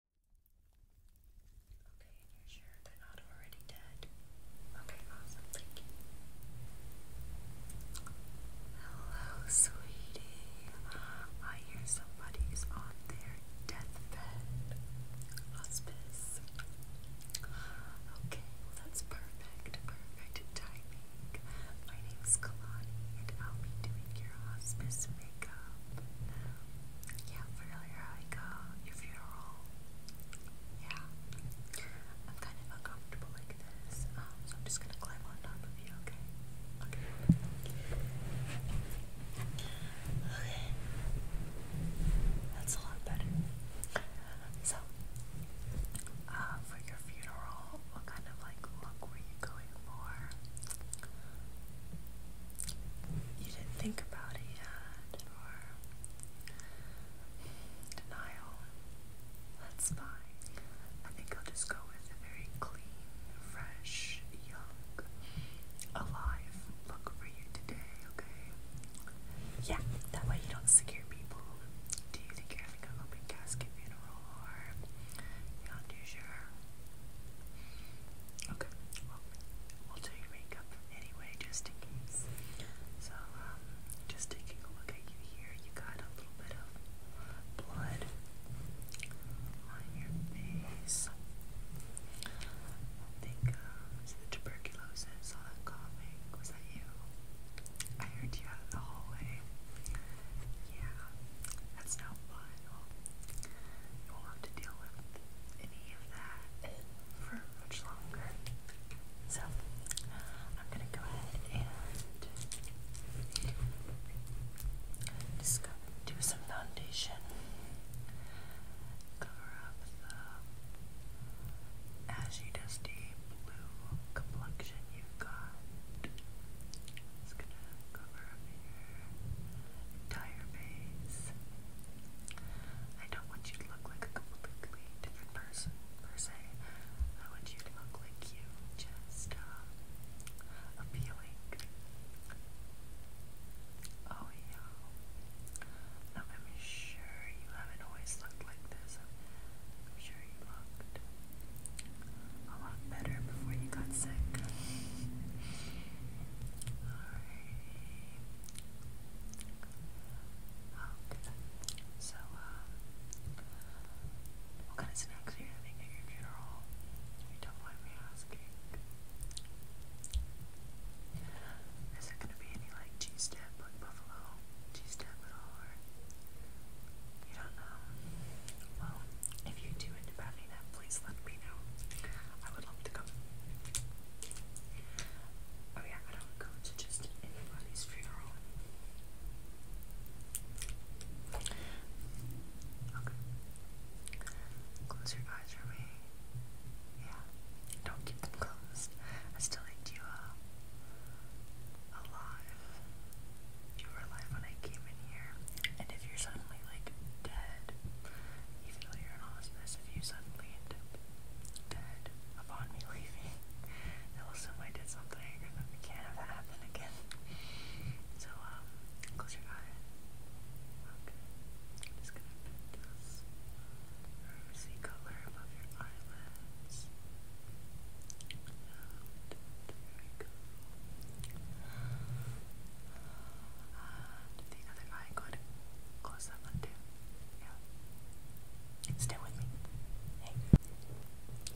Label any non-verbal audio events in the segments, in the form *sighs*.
Okay, and you're sure they're not already dead? Okay, awesome, thank you. Hello, sweetie. Uh, I hear somebody's on their deathbed. Hospice. Okay, well that's perfect. Perfect timing. My name's Kalani, and I'll be doing your hospice makeup job. Yeah, really like uh, your funeral. Yeah. I'm kind of uncomfortable like this, um, so I'm just gonna climb on top of you, okay? Okay. Okay. That's a lot better. So, uh, for your funeral, what kind of like look were you going for? you didn't think about it yet, or That's fine. I think I'll just go with a very clean, fresh, young, alive look for you today, okay? Yeah, that way you don't scare people. Do you think you're having an open casket funeral or you're not too sure? Okay, well, we'll do your makeup anyway, just in case. So, um, just taking a look at you here, you got a little bit of blood on your face. I think, um, the tuberculosis, Was that you? I heard you out in the hallway. Yeah, that's no fun you'll, you will have to deal with any of that for much longer. So, I'm going to go ahead and just do some foundation, cover up the ashy, dusty blue complexion you've got. Just gonna cover up your entire face. I don't want you to look like a completely different person, per se. I want you to look like you, just uh, appealing. Oh, yeah. Now, I'm sure you haven't always looked like this. I'm sure you looked a lot better before you got sick. Okay. So, uh, what kind of snacks are you having at your funeral? You don't mind me asking. Is there gonna be any like cheese dip, like buffalo cheese dip at all, or you don't know? Well, if you do you in Nevada, please let me know. I would love to come. Oh yeah, I don't go to just anybody's funeral. Okay. Close your eyes for me. Yeah. Don't keep them closed. I still need you uh, alive. You were alive when I came in here. And if you're suddenly like dead, even particularly in hospice, if you suddenly end up dead upon me leaving, they'll assume I did something, and then we can't have that happen again. So, um, close your eye. Okay. just gonna put this rosy um, color above your eyelids. there we go. Um, the other eye good. Close that one too. Yeah. Stay with me. Hey.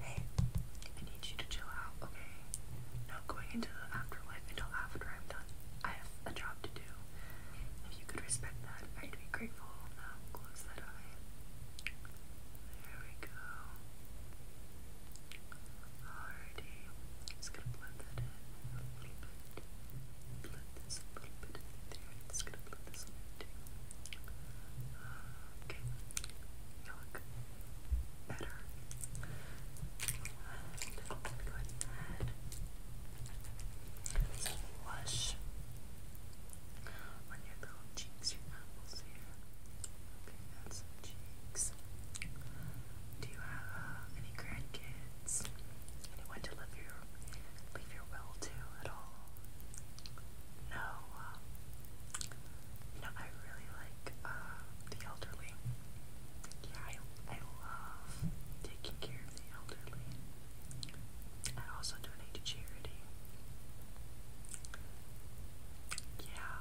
Hey. I need you to chill out, okay? Not going into the afterlife until after I'm done. I have a job to do. If you could respect that, I'd be grateful. Now close that eye. There we go entirety. i just gonna blend that in a little bit. Blend this a little bit there. just gonna blend this one in too. okay, look better. go ahead and flush on your little cheeks, your apples here. Okay, that's some cheeks. Do you have uh, any grandkids? Anyone to leave your leave your will to at all? No. you um, know, I really like uh, the elderly. Yeah, I I love taking care of the elderly. I also donate to charity. Yeah.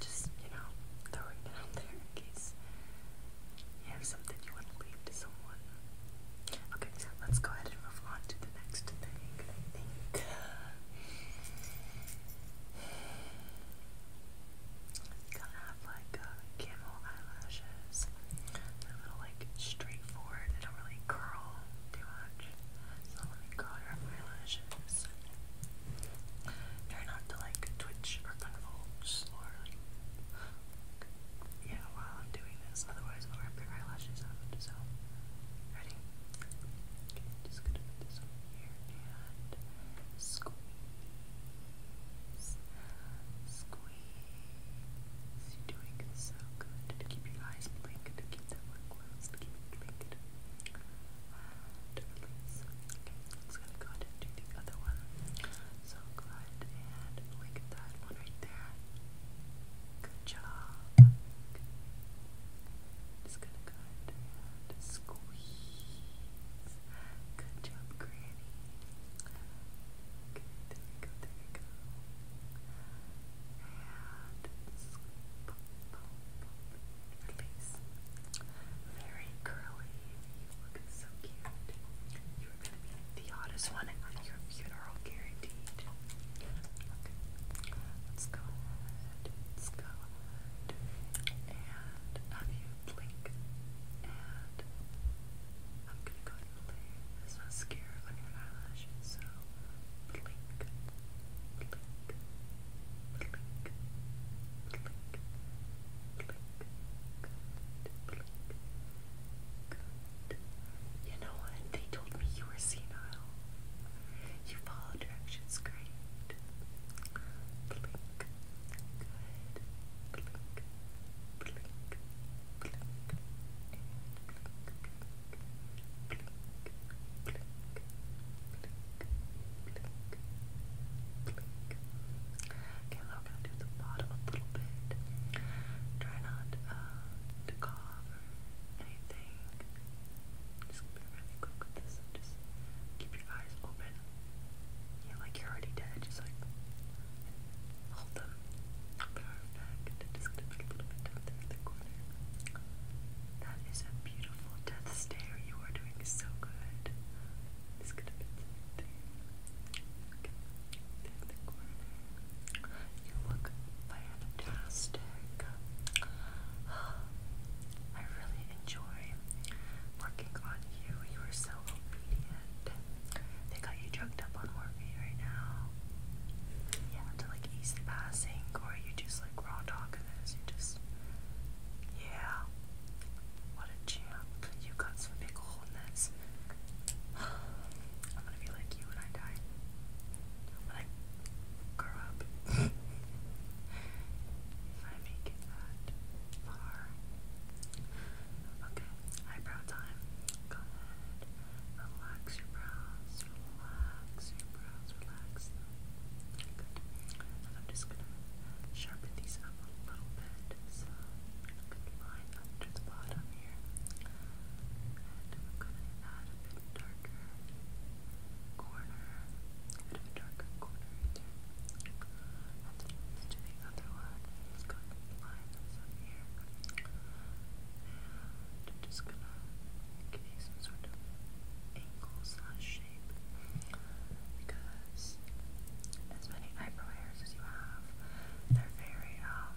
Just, you know, throwing it out there case you have something you want to leave to someone. Okay, let's go ahead and move on to the next thing. I think. gonna have like uh, camel eyelashes. They're little like straightforward. They don't really curl too much. So let me curl your eyelashes. Try not to like twitch or convulse or like, yeah, while I'm doing this, otherwise I'll rip your eyelashes out. So, ready? Okay, just gonna put this over here and squeeze, squeeze. You're doing so good. To keep your eyes blinked, to keep them closed, keep it Let's gonna go ahead the other one. So go ahead and look at that one right there. Good job. Just gonna go ahead and squeeze. Good job, Granny. there we go, there we go. And scoop, Very curly, you look so cute. You are gonna be the oddest one at your funeral, guaranteed. Let's go Let's go And have you blink. And I'm gonna go this mascara on your eyelashes. So blink, blink, you know what? They told me you were senile. You follow directions great click. Okay, now we're gonna do the bottom a little bit. Try not uh, to cough or anything. Just be really quick with this. just keep your eyes open. Yeah, like you're already dead. Just like hold them. Perfect. Just going That is a beautiful death stare. You are doing so good. It's gonna be there. Okay. the corner. You look fantastic. I really enjoy working on you. You are so obedient. They got you drugged up on morphine right now. Yeah, to like ease passing, or you just like raw talking this. You just, yeah not a You got some big wholeness. *sighs* I'm gonna be like you when I die. When I grow up. *laughs* if I make it that far. Okay, eyebrow time. Go Relax your brows. Relax your brows. Relax Good. I'm just gonna sharpen these up a little bit, so a good line under the bottom here. And I'm gonna add a bit darker corner, a bit of a darker corner there. And then let other one. Let's line this up here. And I'm just gonna give you some sort of angle slash shape because as many eyebrow hairs as you have, they're very um,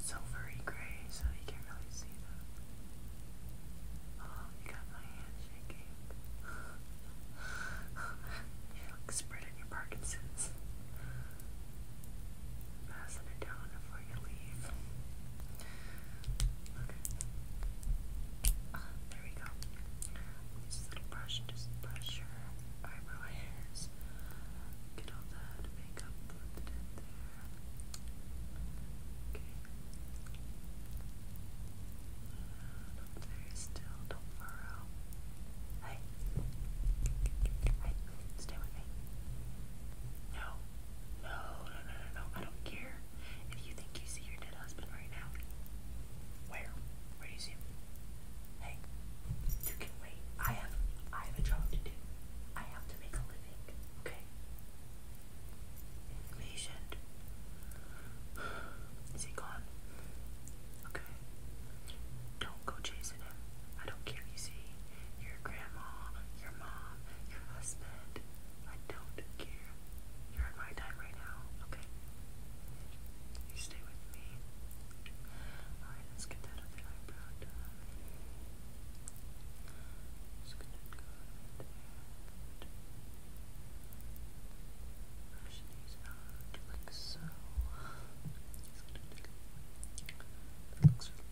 silvery gray, so you can't really see them. Oh, you got my hand shaking. *laughs* you look spread your Parkinson's. Passing it down before you leave. Okay. There we go. This little brush, just brush your eyebrow hairs. Get all that makeup blended in there. Okay. And still, don't furrow. Hey. Hey, stay with me. No. No, no, no, no, no. I don't care if you think you your dead husband right now. Where? Where do you see him? Hey, you can wait. I have I have a job to do. I have to make a living, okay? Patient. Is he gone? Okay. Don't go chasing him. I don't care, you see. Your grandma, your mom, your husband. I don't care here. You're in my time right now, okay? You stay with me. Alright, let's get that other eyebrow done. Just gonna gonna looks really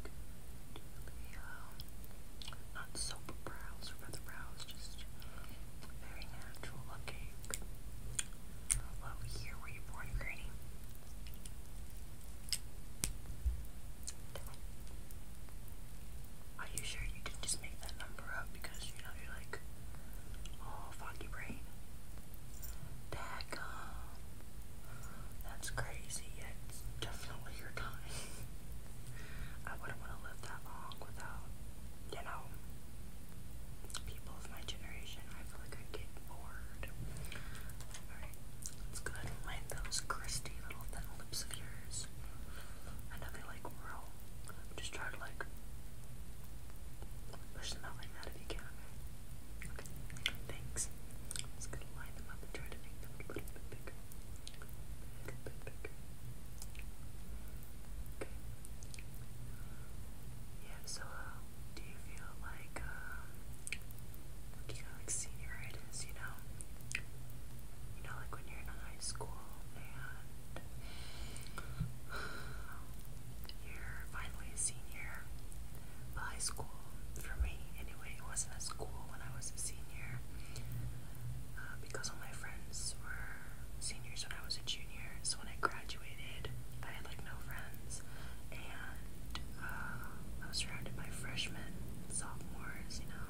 good. Really, um, not soap brows or feather brows it's just very natural looking. Well, here were you born, Granny? Are you sure you didn't just make that number up because you know you're like, oh, foggy brain? That, that's crazy. it's definitely your time. *laughs* I wouldn't want to live that long without you know, people of my generation, I feel like I get bored. Alright, let's line those crusty little thin lips of yours. I know they like whirl. Just try to like push them out if you can. Okay, thanks. I'm just gonna line them up and try to make them a little bit bigger. A little bit bigger. Okay. Yeah, so uh, do you feel like, um, what do you know, like senioritis, you know? You know, like when you're in high school and you're finally a senior. Well, high school, for me anyway, it wasn't a school when I was a senior uh, because all my friends were seniors when I was a junior. So when I graduated, I had like no friends, and uh, I was surrounded by freshmen, sophomores, you know,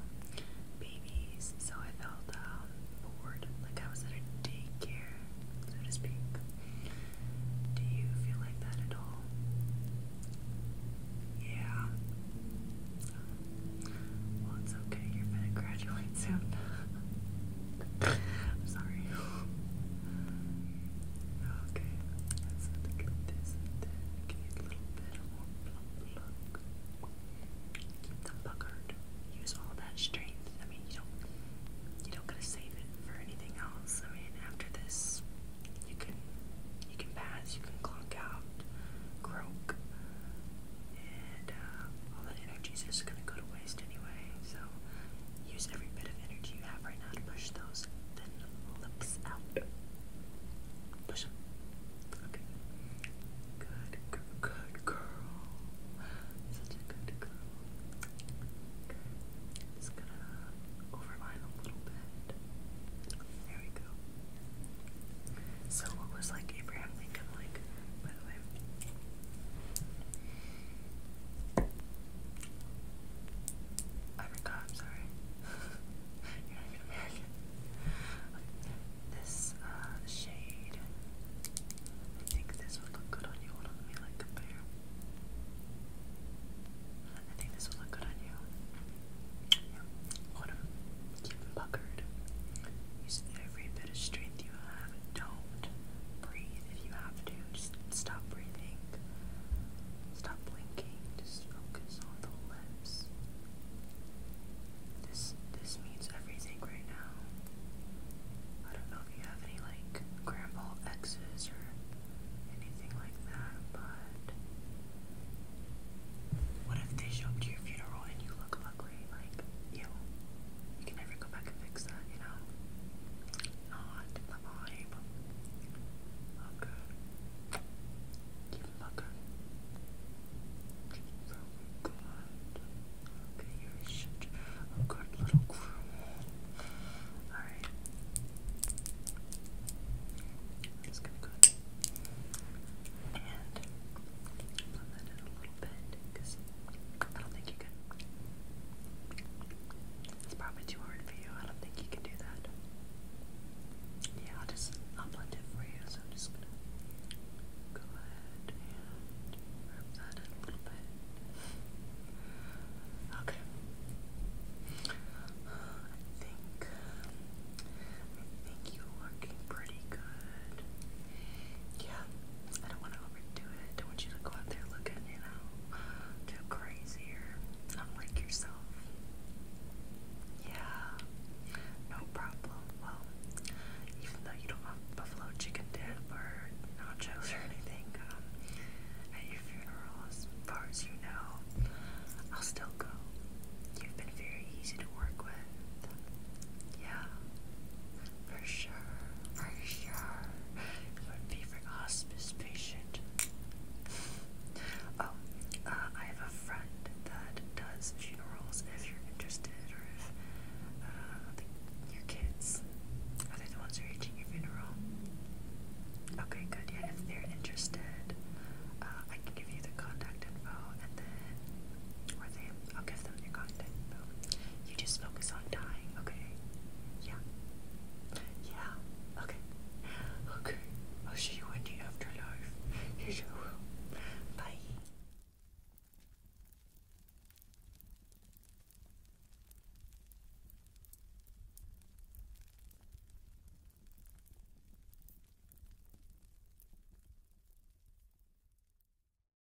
babies. So I felt um, bored, like I was at a daycare, so to speak. Do you feel like that at all? Yeah. Well, it's okay. You're gonna graduate soon. *laughs* I'm sorry. Okay, let's look at this and then little bit more Keep them puckered. Use all that strength. I mean, you don't you don't gotta save it for anything else. I mean, after this, you can you can pass, you can clunk out, croak, and um, all that energy is just going to go to waste anyway. So use every bit of energy you have right now to push those lips out. Push them. Okay. Good, good, good girl. Such a good girl. Just gonna overline a little bit. There we go. So what was like Abraham Lincoln like? the way. I I'm sorry. *laughs* You're not even American. Okay. This uh, shade, I think this would look good on you. Hold on, let like compare. I think this would look good on you. Yeah. Hold on. puckered. Use every bit of strength you don't breathe if you have to. Just stop breathing. Stop blinking. Just focus on the lips. This this means everything right now. I don't know if you have any like grandpa X's or anything like that, but what if they show up to your funeral and you look like ugly, like, you you can never go back and fix that, you know? Not the vibe. Okay. Keep it looking. good. you're a good little crew. Alright. just gonna go and blend that a little bit I don't think you can. It's probably too hard for you. I don't think you can do that. Yeah, I'll just I'll blend for you. So just go ahead and rub that in a little bit. Okay. Uh, I think I think you're looking pretty good. Yeah, I don't want to overdo it. don't want you to go out there looking, you know, too crazy or unlike yourself. Yeah, no problem. Well, even though you don't have buffalo chicken dip or nachos or anything um, at your funeral, far as you know, I'll still go. You've been very easy to work with. Yeah. For sure, for sure. Your favorite hospice patient. Oh, uh, I have a friend that does funerals if you're interested, or if uh, your kids are they the ones who are reaching your funeral. Okay, good. Yeah, if they're interested, uh, I can give you the contact info and then, or they I'll give them your content. You just focus on dying, okay? Yeah. Yeah. Okay. Okay. I'll see you in the afterlife. Yes, I Bye.